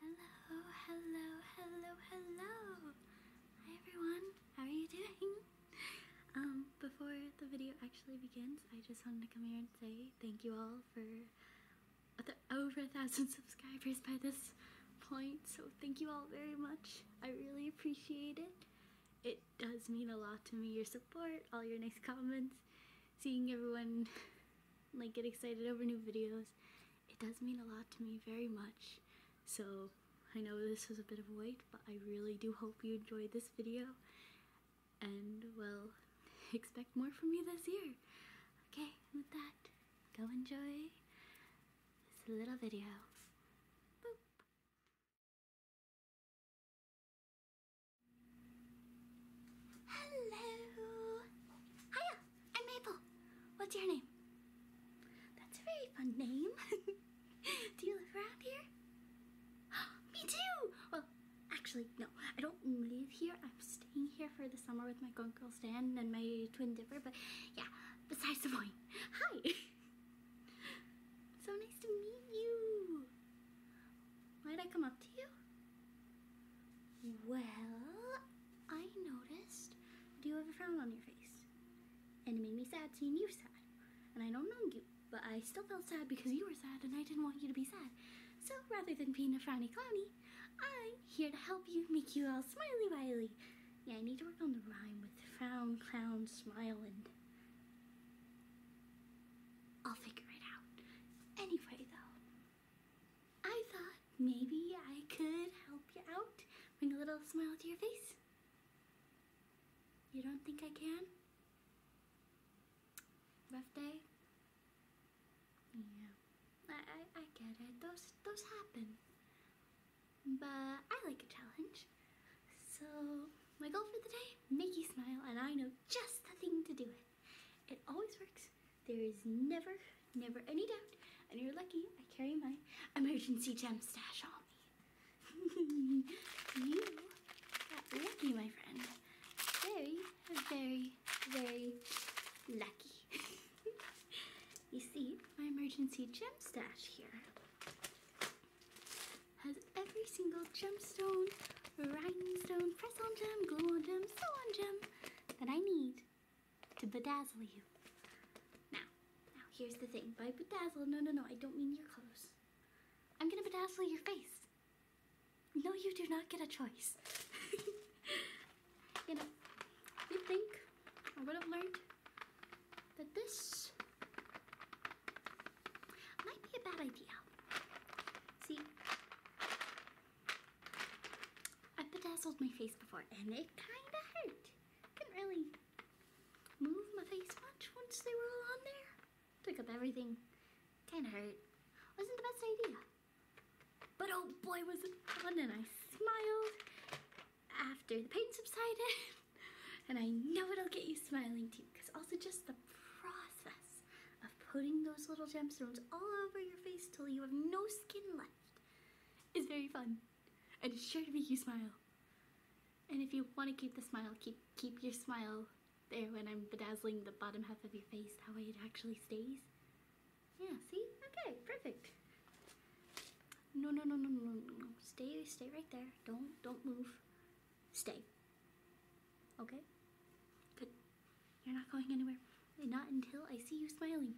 Hello, hello, hello, hello. Hi everyone, how are you doing? Um, before the video actually begins, I just wanted to come here and say thank you all for over a thousand subscribers by this point, so thank you all very much. I really appreciate it. It does mean a lot to me, your support, all your nice comments, seeing everyone like get excited over new videos it does mean a lot to me very much. So I know this was a bit of a wait, but I really do hope you enjoyed this video and we'll expect more from me this year. Okay, with that, go enjoy this little video. Hello! Hiya! I'm Maple. What's your name? That's a very fun name. Do you live around here? Me too! Well, actually, no. I don't live here. I'm staying here for the summer with my good Stan and my twin Dipper, but yeah, besides the boy. Hi! so nice to meet you. Might I come up to you? Well, I noticed Do you have a frown on your face. And it made me sad seeing you sad. And I don't know you, but I still felt sad because you were sad and I didn't want you to be sad. So rather than being a frowny clowny, I'm here to help you make you all smiley wiley. Yeah, I need to work on the rhyme with frown, clown, smile, and I'll figure it out. Anyway, though, I thought maybe I could help you out, bring a little smile to your face. You don't think I can? Rough day? Yeah, I, I, get it. Those, those happen. But I like a challenge. So my goal for the day, make you smile, and I know just the thing to do it. It always works. There is never, never any doubt, and you're lucky I carry my emergency gem stash on me. you got lucky, my friend. Very, very, very lucky. you see, my emergency gem stash here has every single gemstone, rhinestone, press-on gem, glue-on gem, sew-on gem that I need to bedazzle you. Now, now here's the thing. By bedazzle, no, no, no, I don't mean your clothes. I'm gonna bedazzle your face. No, you do not get a choice. you know, you think I would have learned that this might be a bad idea. See, I have bedazzled my face before and it kind of hurt. Couldn't really move my face much once they were all on there. Took up everything. Kind of hurt. Wasn't the best idea. But oh boy was it fun and I smiled after the pain subsided. and I know it'll get you smiling too because also just the process of putting those little gemstones all over your face till you have no skin left is very fun and it's sure to make you smile. And if you want to keep the smile, keep keep your smile there when I'm bedazzling the bottom half of your face. How it actually stays. Yeah, see? Okay, perfect. No, no, no, no, no, no. Stay, stay right there. Don't, don't move. Stay. Okay? Good. You're not going anywhere. Not until I see you smiling.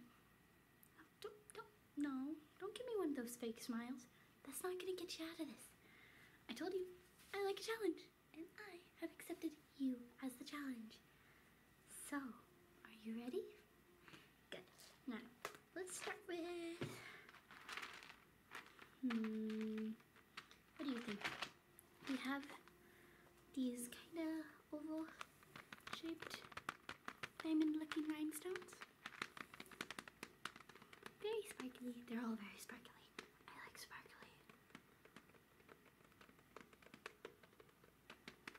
Don't, don't, no, don't give me one of those fake smiles. That's not gonna get you out of this. I told you, I like a challenge, and I have accepted you as the challenge. So, are you ready? Good. Now, let's start with, hmm, what do you think? We have these kind of oval shaped diamond looking rhinestones. Very sparkly. They're all very sparkly. I like sparkly.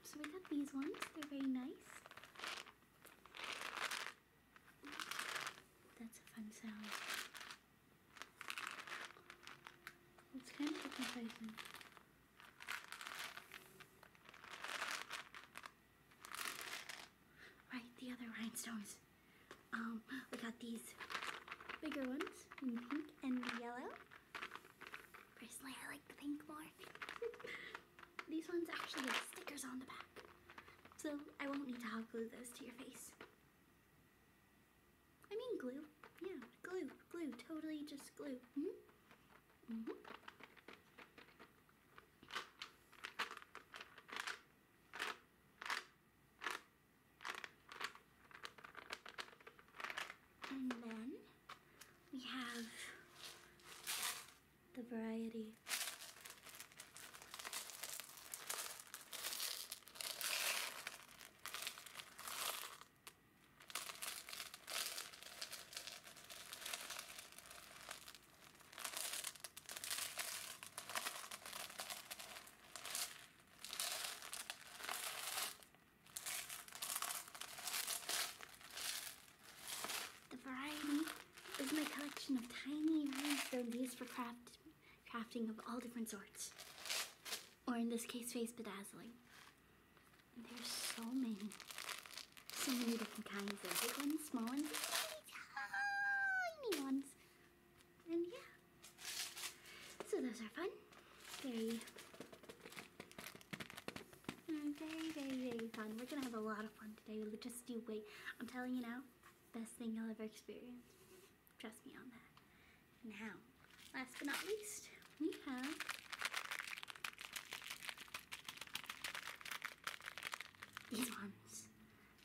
So we got these ones. They're very nice. That's a fun sound. It's kind of a Right, the other rhinestones. Um, we got these bigger ones in pink and yellow. Personally, I like the pink more. these ones actually have stickers on the back. So I won't need to hot glue those to your face. I mean glue. Yeah, glue, glue, totally just glue. -hmm. Mm-hmm. And then we have the variety the variety is my collection of tiny rhinestone used for craft, crafting of all different sorts. Or in this case, face bedazzling. And there's so many. So many different kinds of big ones, small ones, tiny ones. And yeah. So those are fun. Very mm, very, very, very fun. We're gonna have a lot of fun today. We'll just do wait. I'm telling you now, best thing you'll ever experience. Trust me on that. Now, last but not least, we have these ones.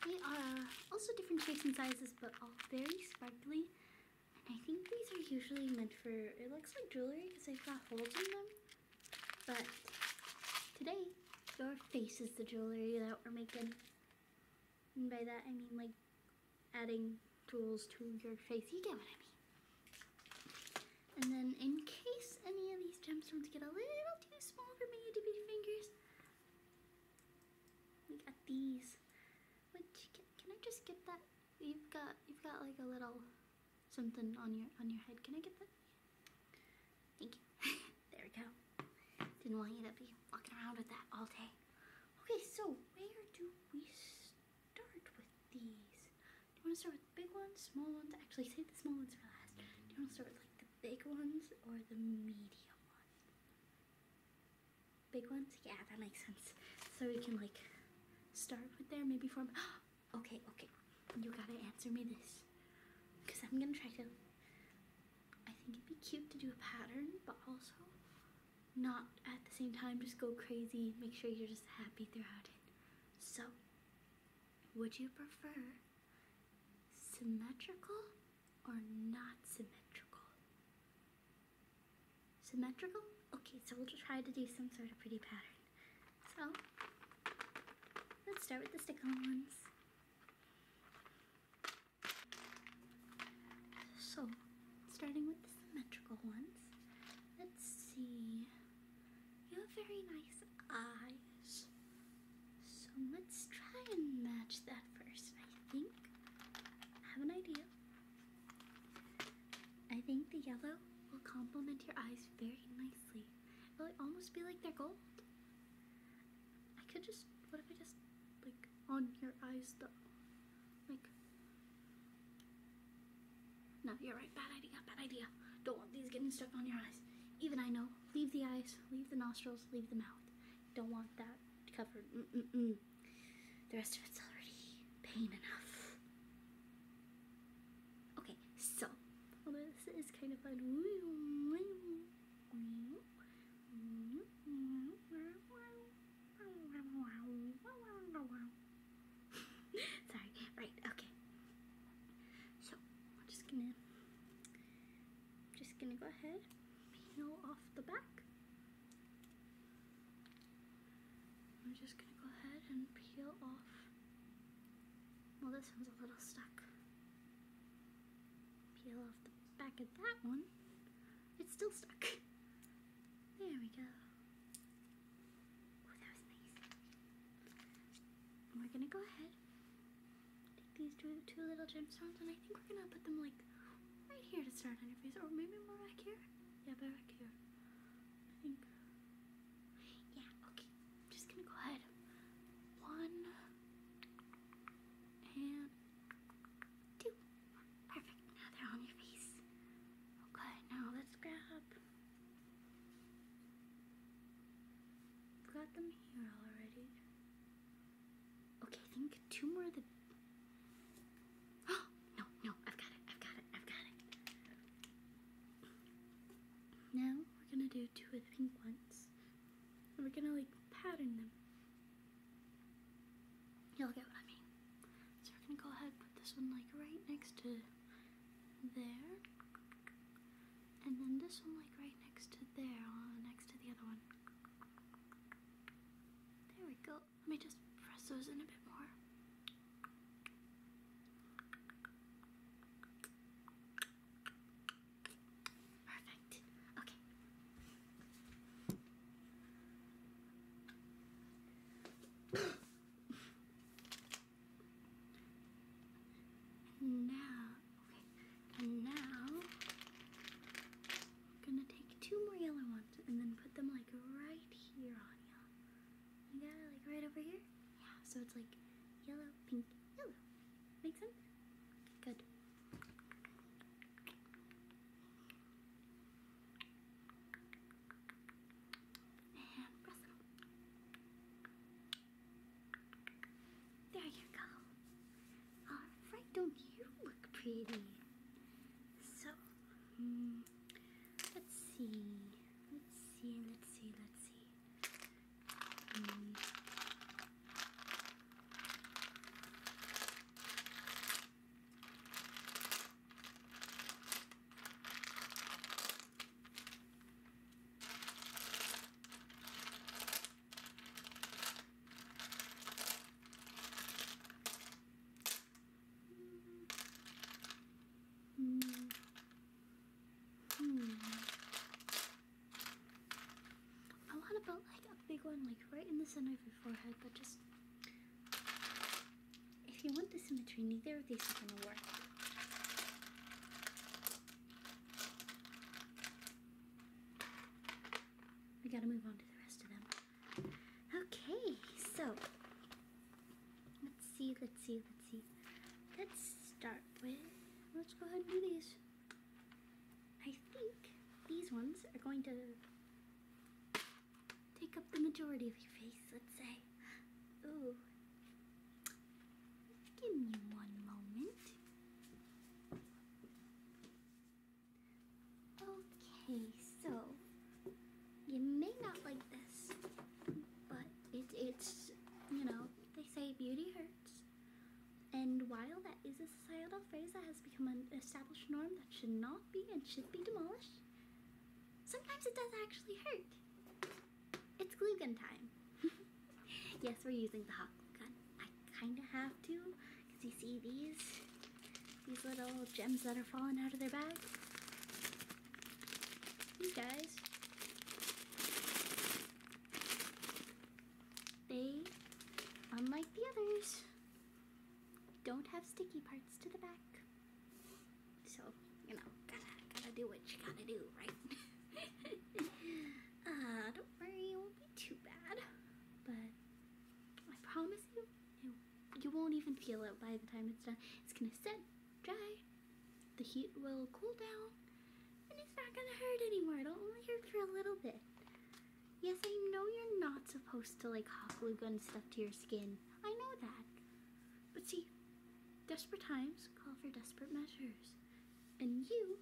They are also different shapes and sizes, but all very sparkly. And I think these are usually meant for, it looks like jewelry because they've got holes in them. But today, your face is the jewelry that we're making. And by that, I mean like adding jewels to your face. You get what I mean. And then in case any of these gemstones get a little too small for my itty bitty fingers, we got these. Which, can, can I just get that? You've got, you've got like a little something on your, on your head. Can I get that? Thank you. there we go. Didn't want you to be walking around with that all day. Okay, so where do we start with these? Do you want to start with the big ones, small ones? Actually, save the small ones for last. Do you want to start with like the big ones or the medium ones? Big ones? Yeah, that makes sense. So we can like start with there, maybe form. okay, okay. You gotta answer me this. Because I'm gonna try to. I think it'd be cute to do a pattern, but also not at the same time just go crazy. Make sure you're just happy throughout it. So, would you prefer symmetrical or not symmetrical? Symmetrical? Okay, so we'll try to do some sort of pretty pattern. So, let's start with the stick-on ones. So, starting with the symmetrical ones, let's see... You have very nice eyes. So let's try and match that first, I think. I have an idea. I think the yellow will complement your eyes very nicely. It'll almost be like they're gold. I could just, what if I just, like, on your eyes though? Like, no, you're right. Bad idea. Bad idea. Don't want these getting stuck on your eyes. Even I know. Leave the eyes. Leave the nostrils. Leave the mouth. Don't want that covered. Mm -mm The rest of it's already pain enough. Okay, so this is kind of fun. Sorry. Right. Okay. So I'm just gonna, just gonna go ahead, peel off the back. I'm just gonna go ahead and peel off. Well, this one's a little stuck. Peel off the back of that one. It's still stuck. There we go we're gonna go ahead, take these two, little gemstones, and I think we're gonna put them like right here to start on your face, or maybe more back here. Yeah, back here. I think. Yeah, okay. I'm just gonna go ahead. One and two. Perfect. Now they're on your face. Okay, now let's grab got them here already. Okay, I think two more of the... no, no, I've got it, I've got it, I've got it. Now, we're gonna do two of the pink ones. And we're gonna, like, pattern them. You'll get what I mean. So we're gonna go ahead and put this one, like, right next to there, and then this one like right next to there, uh, next to the other one. There we go. Let me just press those in a bit more. Perfect. Okay. And now, okay, now I'm gonna take two more yellow ones and then put them like right here on you. You got it like right over here? Yeah, so it's like yellow, pink, yellow. Make sense? Good. And press them. There you go. Alright, don't you look pretty? So, um, let's see. Let's see, let's see, let's see. Um, I hmm. want to put like a big one like right in the center of your forehead, but just if you want the symmetry, neither of these are going to work. We gotta move on to the rest of them. Okay, so let's see, let's see, let's see. Let's start with, let's go ahead and do these. I think these ones are going to take up the majority of your face, let's say. Ooh, Give me one moment. Okay, so you may not like this, but it, it's, you know, they say beauty hurts. And while that is a societal phrase that has become an established norm that should not be and should be demolished, sometimes it does actually hurt. It's glue gun time. yes, we're using the hot glue gun. I kind of have to, because you see these, these little gems that are falling out of their bag? You guys. They, unlike the others, don't have sticky parts to the back. So, you know, gotta, gotta do what you gotta do, right? uh, don't worry, it won't be too bad. But I promise you, you, you won't even feel it by the time it's done. It's gonna set, dry, the heat will cool down, and it's not gonna hurt anymore. It'll only hurt for a little bit. Yes, I know you're not supposed to like hot glue gun stuff to your skin. I know that. But see, Desperate times call for desperate measures. And you,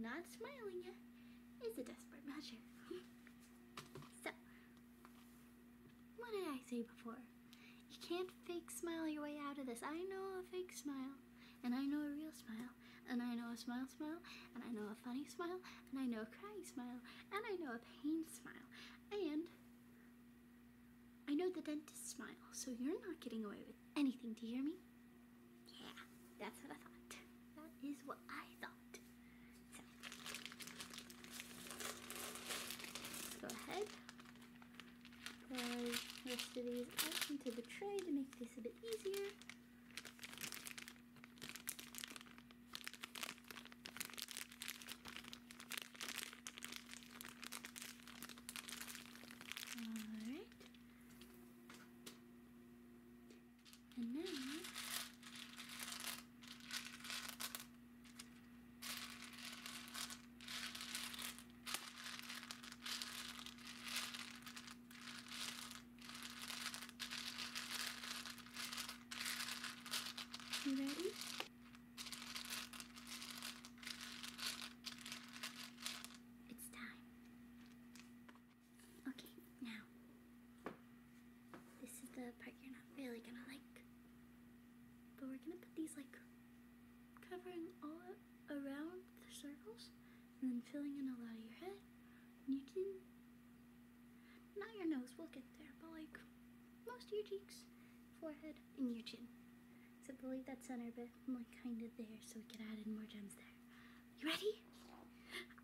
not smiling yet, is a desperate measure. so, what did I say before? You can't fake smile your way out of this. I know a fake smile, and I know a real smile, and I know a smile smile, and I know a funny smile, and I know a crying smile, and I know a pain smile, and I know the dentist smile, so you're not getting away with anything, do you hear me? Yeah, that's what I thought. That is what I thought. So, go ahead. Pour the rest of these into the tray to make this a bit easier. Alright. And now you ready? It's time. Okay, now. This is the part you're not really gonna like. But we're gonna put these like covering all around the circles and then filling in a lot of your head. And you can, not your nose, we'll get there, but like most of your cheeks, forehead, in your chin. So believe that center but I'm like kind of there so we can add in more gems there. You ready?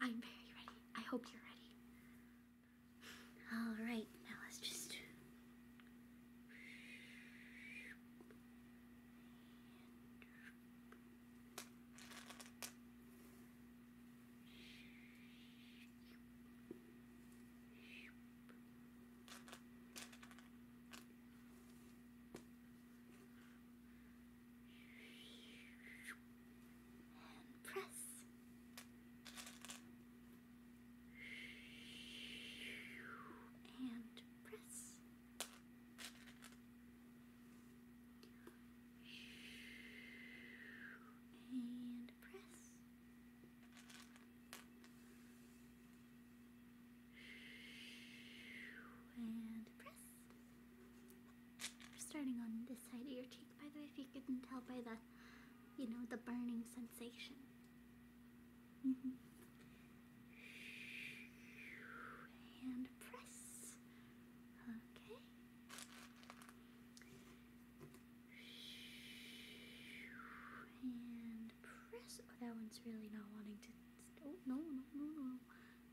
I'm very ready. I hope you're ready. All right, now let's just... And press. And press. And press. And press. We're starting on this side of your cheek, by the way, if you couldn't tell by the, you know, the burning sensation. Mm-hmm. And press. Okay. And press. Oh, that one's really not wanting to. Oh, no, no, no, no.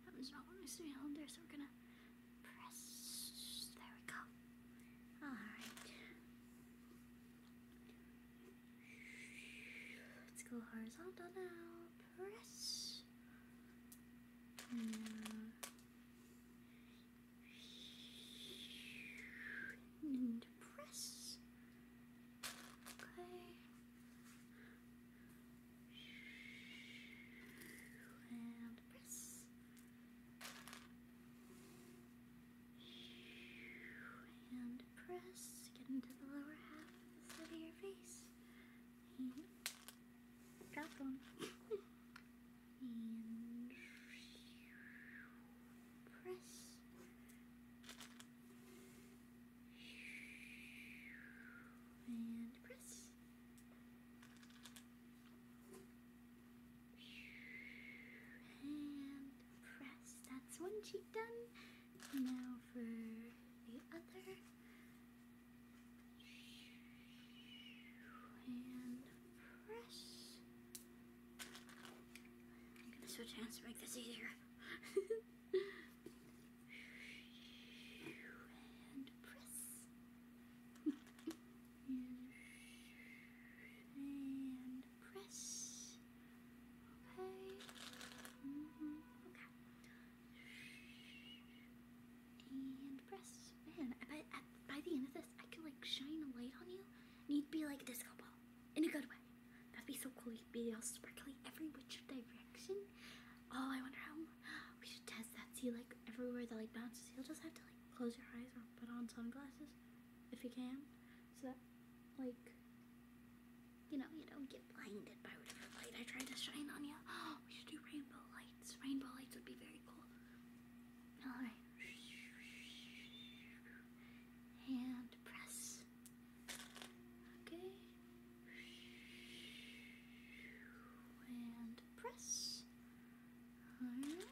That one's not wanting to be held there, so we're gonna press. There we go. Alright. Let's go horizontal now. Press. Mm. and press. Okay. And press. And press. Get into the lower half of the side of your face. And drop one. and press. And press. And press. That's one cheek done. Now for the other. And press. I'm gonna switch hands to make this easier. and press. and press. Okay. Okay. And press. Man, by, by the end of this, I can like shine a light on you, and you'd be like a disco ball in a good way. That'd be so cool. You'd be all sparkly every which direction. Oh, I wonder how we should test that. See, like everywhere that like bounces, you'll just have to like close your eyes or put on sunglasses if you can, so that like you know you don't get blinded by whatever light I try to shine on you. Oh, we should do rainbow lights. Rainbow lights would be very cool. All right, and press. Okay. And press. Alright.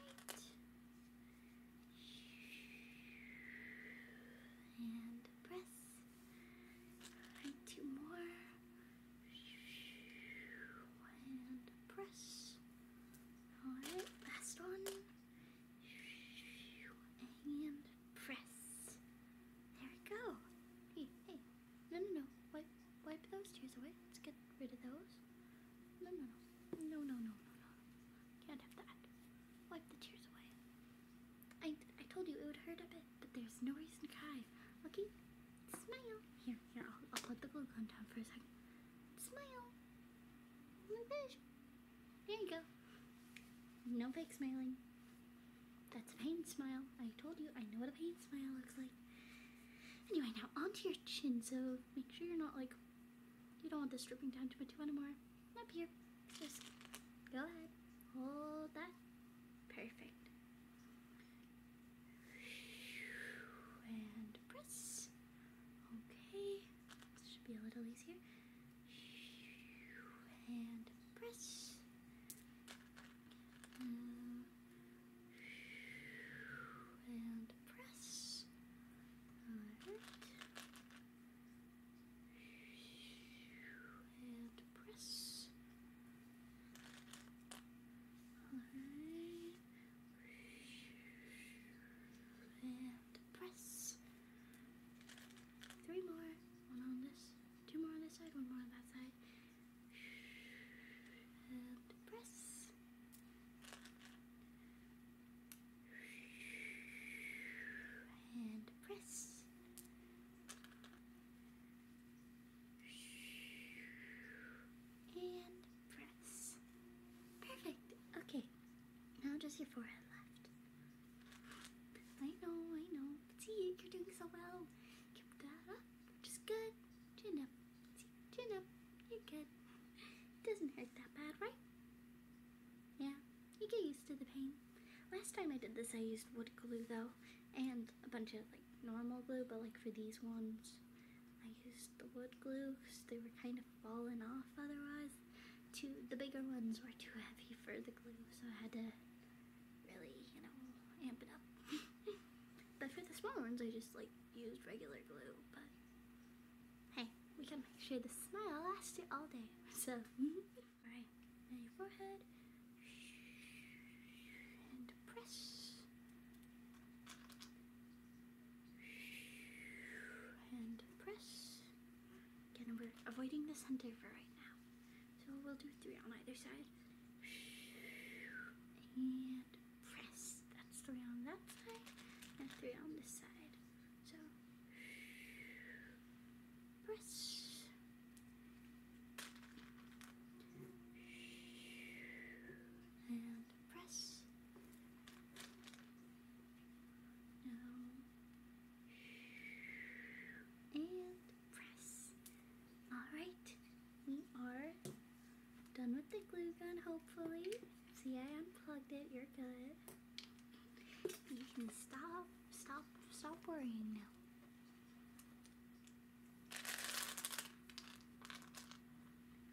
And press. Alright, two more. And press. Alright, last one. And press. There we go. Hey, hey. No, no, no. Wipe, wipe those tears away. Let's get rid of those. No, no, no. No, no, no, no, no. Can't have that. Wipe the tears away. I, I told you it would hurt a bit, but there's no reason to cry. Lucky, smile. Here, here, I'll, I'll put the glue gun down for a second. Smile. Oh there you go. No fake smiling. That's a pain smile. I told you, I know what a pain smile looks like. Anyway, now onto your chin, so make sure you're not like, you don't want this dripping down to my much anymore. Up here, just go ahead, hold that. Perfect. And press. Okay. This should be a little easier. And press. And press. Alright. And press. Alright press. Three more. One on this. Two more on this side. One more on that side. And press. And press. And press. Perfect. Okay. Now just your forehead left. I know, I know. See, you're doing so well. Keep that up. Just good. Chin up. chin up. You're good. It doesn't hurt that bad, right? Yeah, you get used to the pain. Last time I did this, I used wood glue though, and a bunch of like normal glue, but like for these ones, I used the wood glue because they were kind of fallen off otherwise. Two, the bigger ones were too heavy for the glue, so I had to really, you know, amp it up. but for the smaller ones, I just like used regular glue. But hey, we can make sure the smile lasts it all day. So, all right, now your forehead and press. And press Again, we're avoiding the center for right now. So we'll do three on either side. And press. That's three on that side and three on this side. So press. And press. Now and press. Alright, we are done with the glue gun, hopefully. See, I unplugged it. You're good. You can stop, stop, stop worrying now.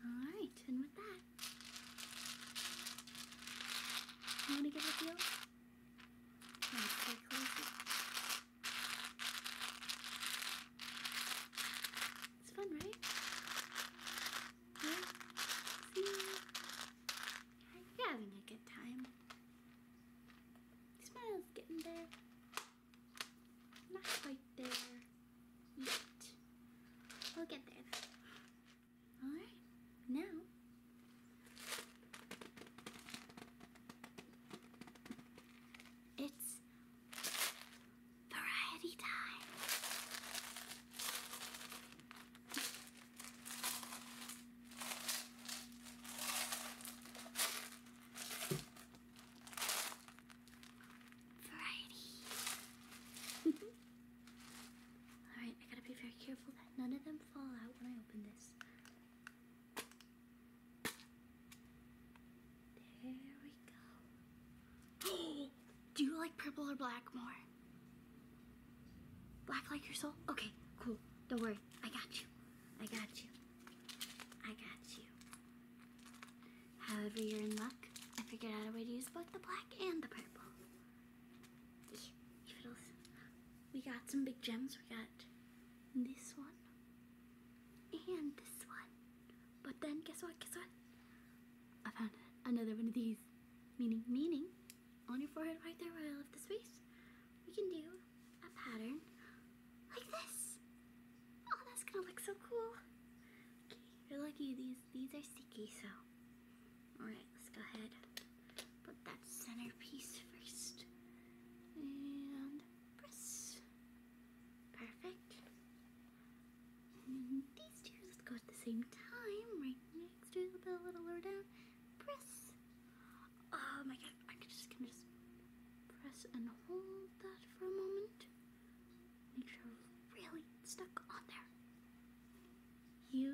Alright, and with that, you want to give a feel? It's fun, right? Yeah. See? are having a good time. Smile's getting there. Not quite there yet. We'll get there. All right, now it's variety time. Variety. All right, I gotta be very careful that none of them Do you like purple or black more? Black like your soul? Okay, cool. Don't worry. I got you. I got you. I got you. However you're in luck, I figured out a way to use both the black and the purple. We got some big gems. We got this one and this one. But then guess what? Guess what? I found another one of these. Meaning, meaning, on your forehead right there where I left the space, we can do a pattern like this. Oh, that's gonna look so cool. Okay, you're lucky these these are sticky, so Alright, let's go ahead. Put that centerpiece first. And press. Perfect. these two, let's go at the same time. Right next to the bell, a little lower down. Press. Oh my god, I could just can just press and hold that for a moment. Make sure I'm really stuck on there. You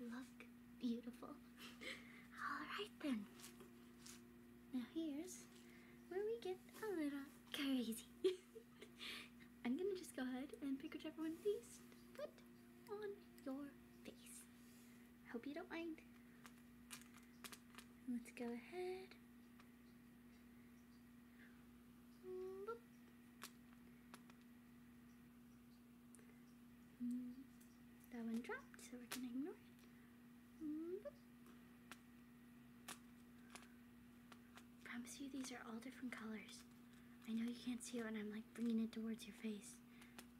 look beautiful. Alright then. Now here's where we get a little crazy. I'm gonna just go ahead and pick whichever one of these put on your face. Hope you don't mind. Let's go ahead. Mm, that one dropped, so we're going to ignore it. Mm. promise you these are all different colors. I know you can't see it when I'm like bringing it towards your face,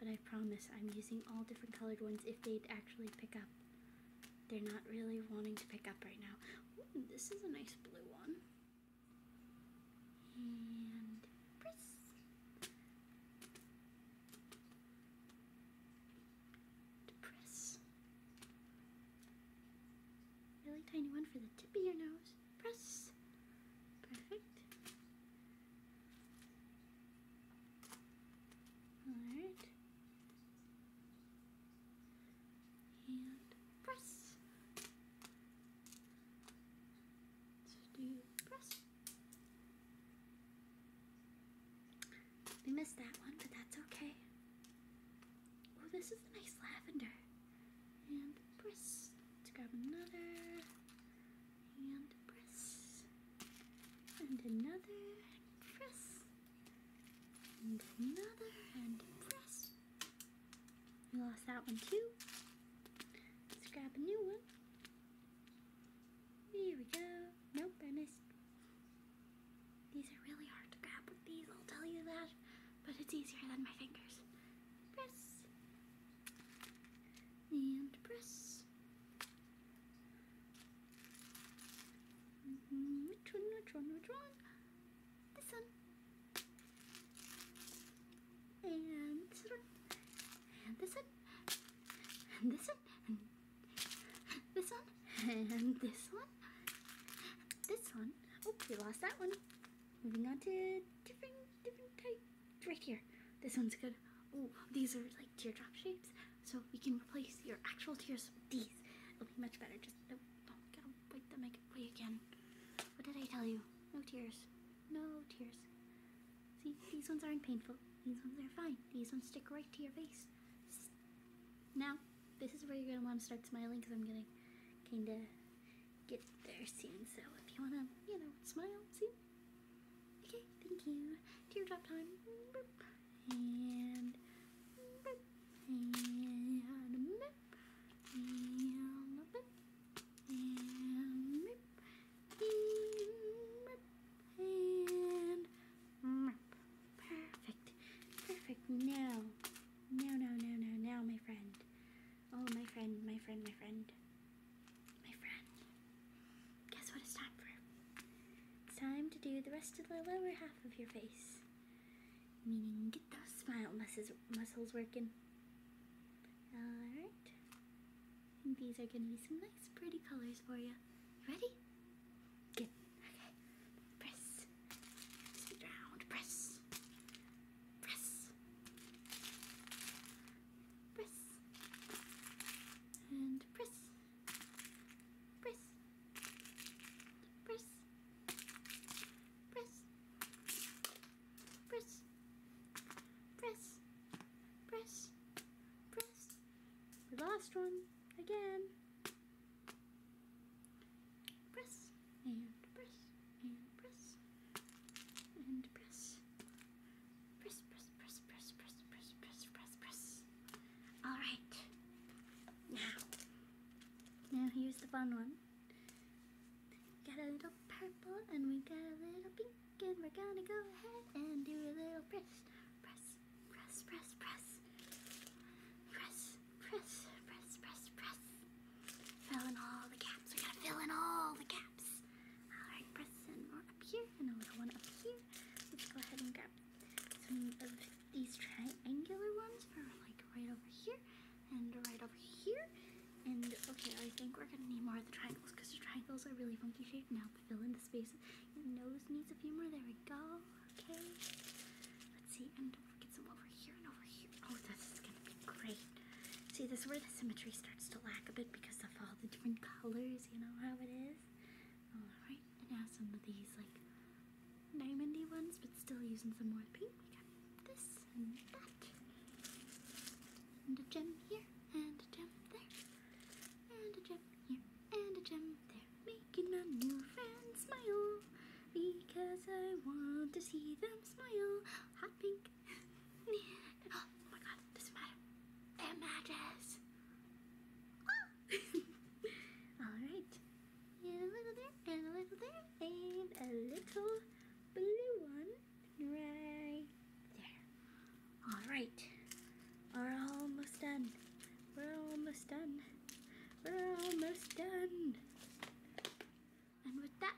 but I promise I'm using all different colored ones if they'd actually pick up. They're not really wanting to pick up right now. this is a nice blue one. And press. Press. Really tiny one for the tip of your nose. Press. Perfect. Alright. And press to press. We missed that one, but that's okay. Oh, this is the nice lavender. And press. Let's grab another. And press. And another. press. And another. And press. We lost that one too. grab a new one. Here we go. Nope, I missed. These are really hard to grab with these, I'll tell you that. But it's easier than my fingers. Press. And press. Mm-hmm. Which one, which one, which one? This one and this one, and this one, and this one, and this one, and this one, this one. Oh, we lost that one. Moving on to different, different type. Right here. This one's good. Oh, these are like teardrop shapes, so we can replace your actual tears with these. It'll be much better. Just no, don't get them. Wipe them again. What did I tell you? No tears. No tears. See, these ones aren't painful. These ones are fine. These ones stick right to your face. Now, this is where you're going to want to start smiling because I'm going to kind of get there soon. So if you want to, you know, smile soon. Okay, thank you. Teardrop time. And perfect. Perfect. Now. Now, now, now, now, now, my friend. Oh, my friend, my friend, my friend. My friend. Guess what it's time for? It's time to do the rest of the lower half of your face. Meaning, get those smile muscles, muscles working. Alright. And these are gonna be some nice pretty colors for you. Ready? Good. Okay. Press. Speed round. Press. Press. Press. And press. Press. Press. Press press, press, press, press. Last one, again. Press, and press, and press, and press. Press, press, press, press, press, press, press, press, press. All right. Now, now here's the fun one. Got a little purple and we got a little pink and we're gonna go ahead and do a little press, press, press, press, press, press, press, press, press, press. Fill in all the gaps. We're gonna fill in all the gaps. All right, press in one up here and a little one up here. Let's go ahead and grab some of these triangular ones for like right over here and right over here. And okay, I think we're gonna need more of the triangles because the triangles are really funky shaped. Now fill in the space. Your nose needs a few more. There we go. Okay. Let's see. And don't forget some over here and over here. Oh, this is gonna be great. See, this where the symmetry starts to lack a bit because of all the different colors. You know how it is. All right. And now some of these like diamondy ones, but still using some more pink. We got this and that. And a gem here here, and a gem there, and a gem here, and a gem there. Making my new friends smile, because I want to see them smile. Hot pink. oh my god, doesn't matter. It matches. Oh. Ah! Alright. And a little there, and a little there, and a little blue one right there. All right, we're almost done. We're almost done. We're almost done. And with that,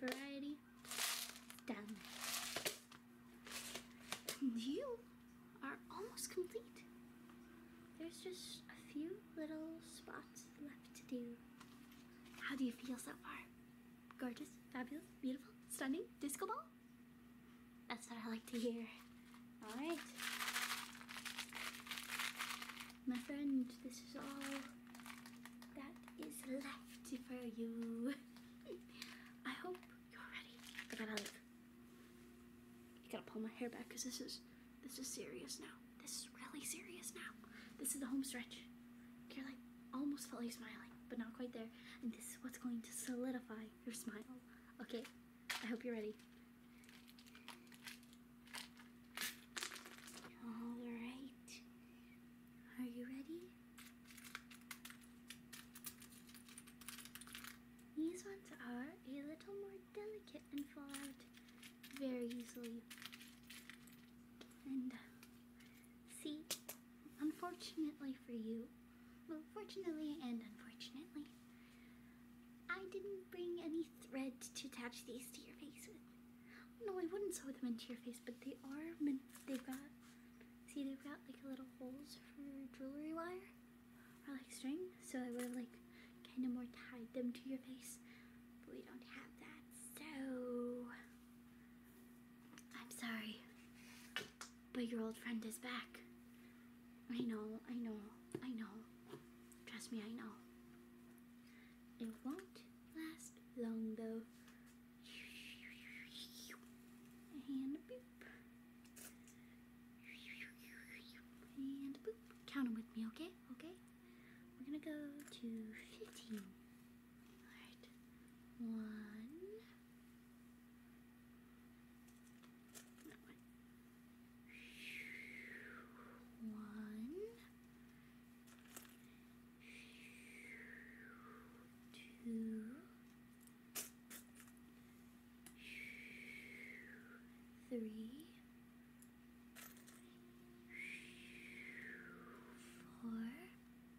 variety done. And you are almost complete. There's just a few little spots left to do. How do you feel so far? Gorgeous, fabulous, beautiful, stunning, disco ball? That's what I like to hear. All right. My friend, this is all that is left for you. I hope you're ready. I gotta leave. gotta pull my hair back because this is, this is serious now. This is really serious now. This is the home stretch. you almost felt you smiling, but not quite there. And this is what's going to solidify your smile. Okay, I hope you're ready. Alright. Are you ready? These ones are a little more delicate and fall out very easily. And See, unfortunately for you, well, fortunately and unfortunately, I didn't bring any thread to attach these to your face with. No, I wouldn't sew them into your face, but they are meant, they've got, see, they've got like little holes for jewelry wire or like string, so I would have like kind of more tied them to your face, but we don't have that, so I'm sorry, but your old friend is back. I know, I know, I know. Trust me, I know. It won't last long though. And boop. And boop. Count them with me, okay? Okay? We're gonna go to 15. Alright. one. One. Two. Three. Four.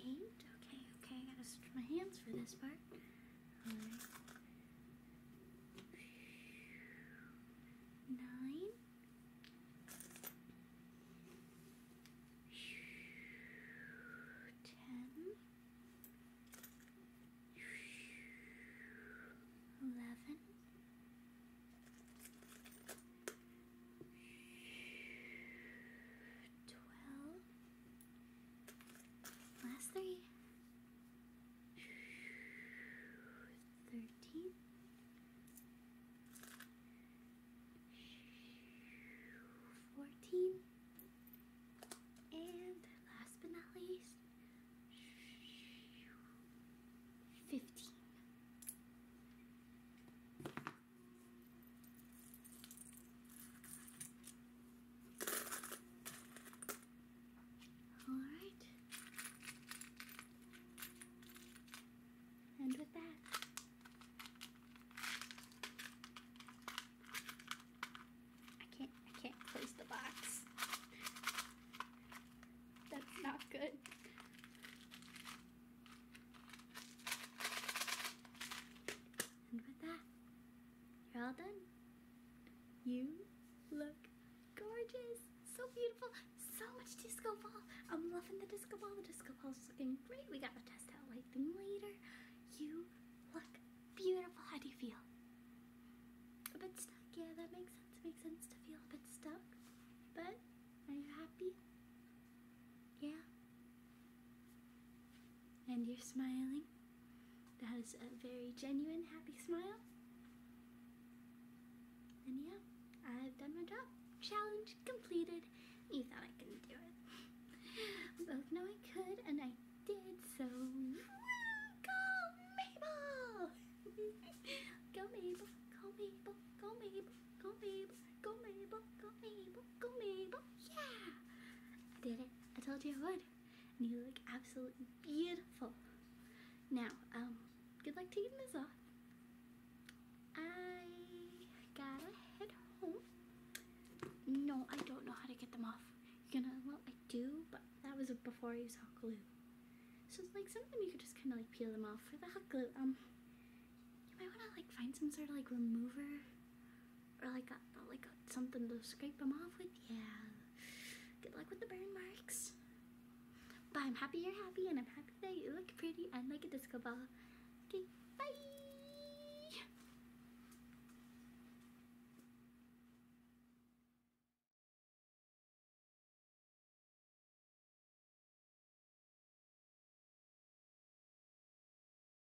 Eight? Okay, okay, I gotta stretch my hands for this part. Nine. Ten. Eleven. Twelve. Last three. Fourteen. And last but not least, fifteen. All right. And with that, I can't, I can't close the box. That's not good. And with that, you're all done. You look gorgeous. So beautiful. So much disco ball. I'm loving the disco ball. The disco ball's looking great. We gotta test out lighting later. You look beautiful. How do you feel? A bit stuck. Yeah, that makes sense. It makes sense to feel a bit stuck. But are you happy? Yeah and you're smiling. That is a very genuine, happy smile. And yeah, I've done my job. Challenge completed. You thought I couldn't do it. Both know I could, and I did, so go Mabel! go Mabel, go Mabel, go Mabel, go Mabel, go Mabel, go Mabel go Mabel, yeah! I did it, I told you I would. And you look absolutely beautiful. Now, um, good luck taking this off. I gotta head home. No, I don't know how to get them off. You're gonna, well, I do, but that was before you saw glue. So, like, sometimes you could just kind of, like, peel them off with the hot glue. Um, you might want to, like, find some sort of, like, remover or like a, like something to scrape them off with. Yeah. Good luck with the burn marks. But I'm happy you're happy, and I'm happy that you look pretty and like a disco ball. Okay, bye.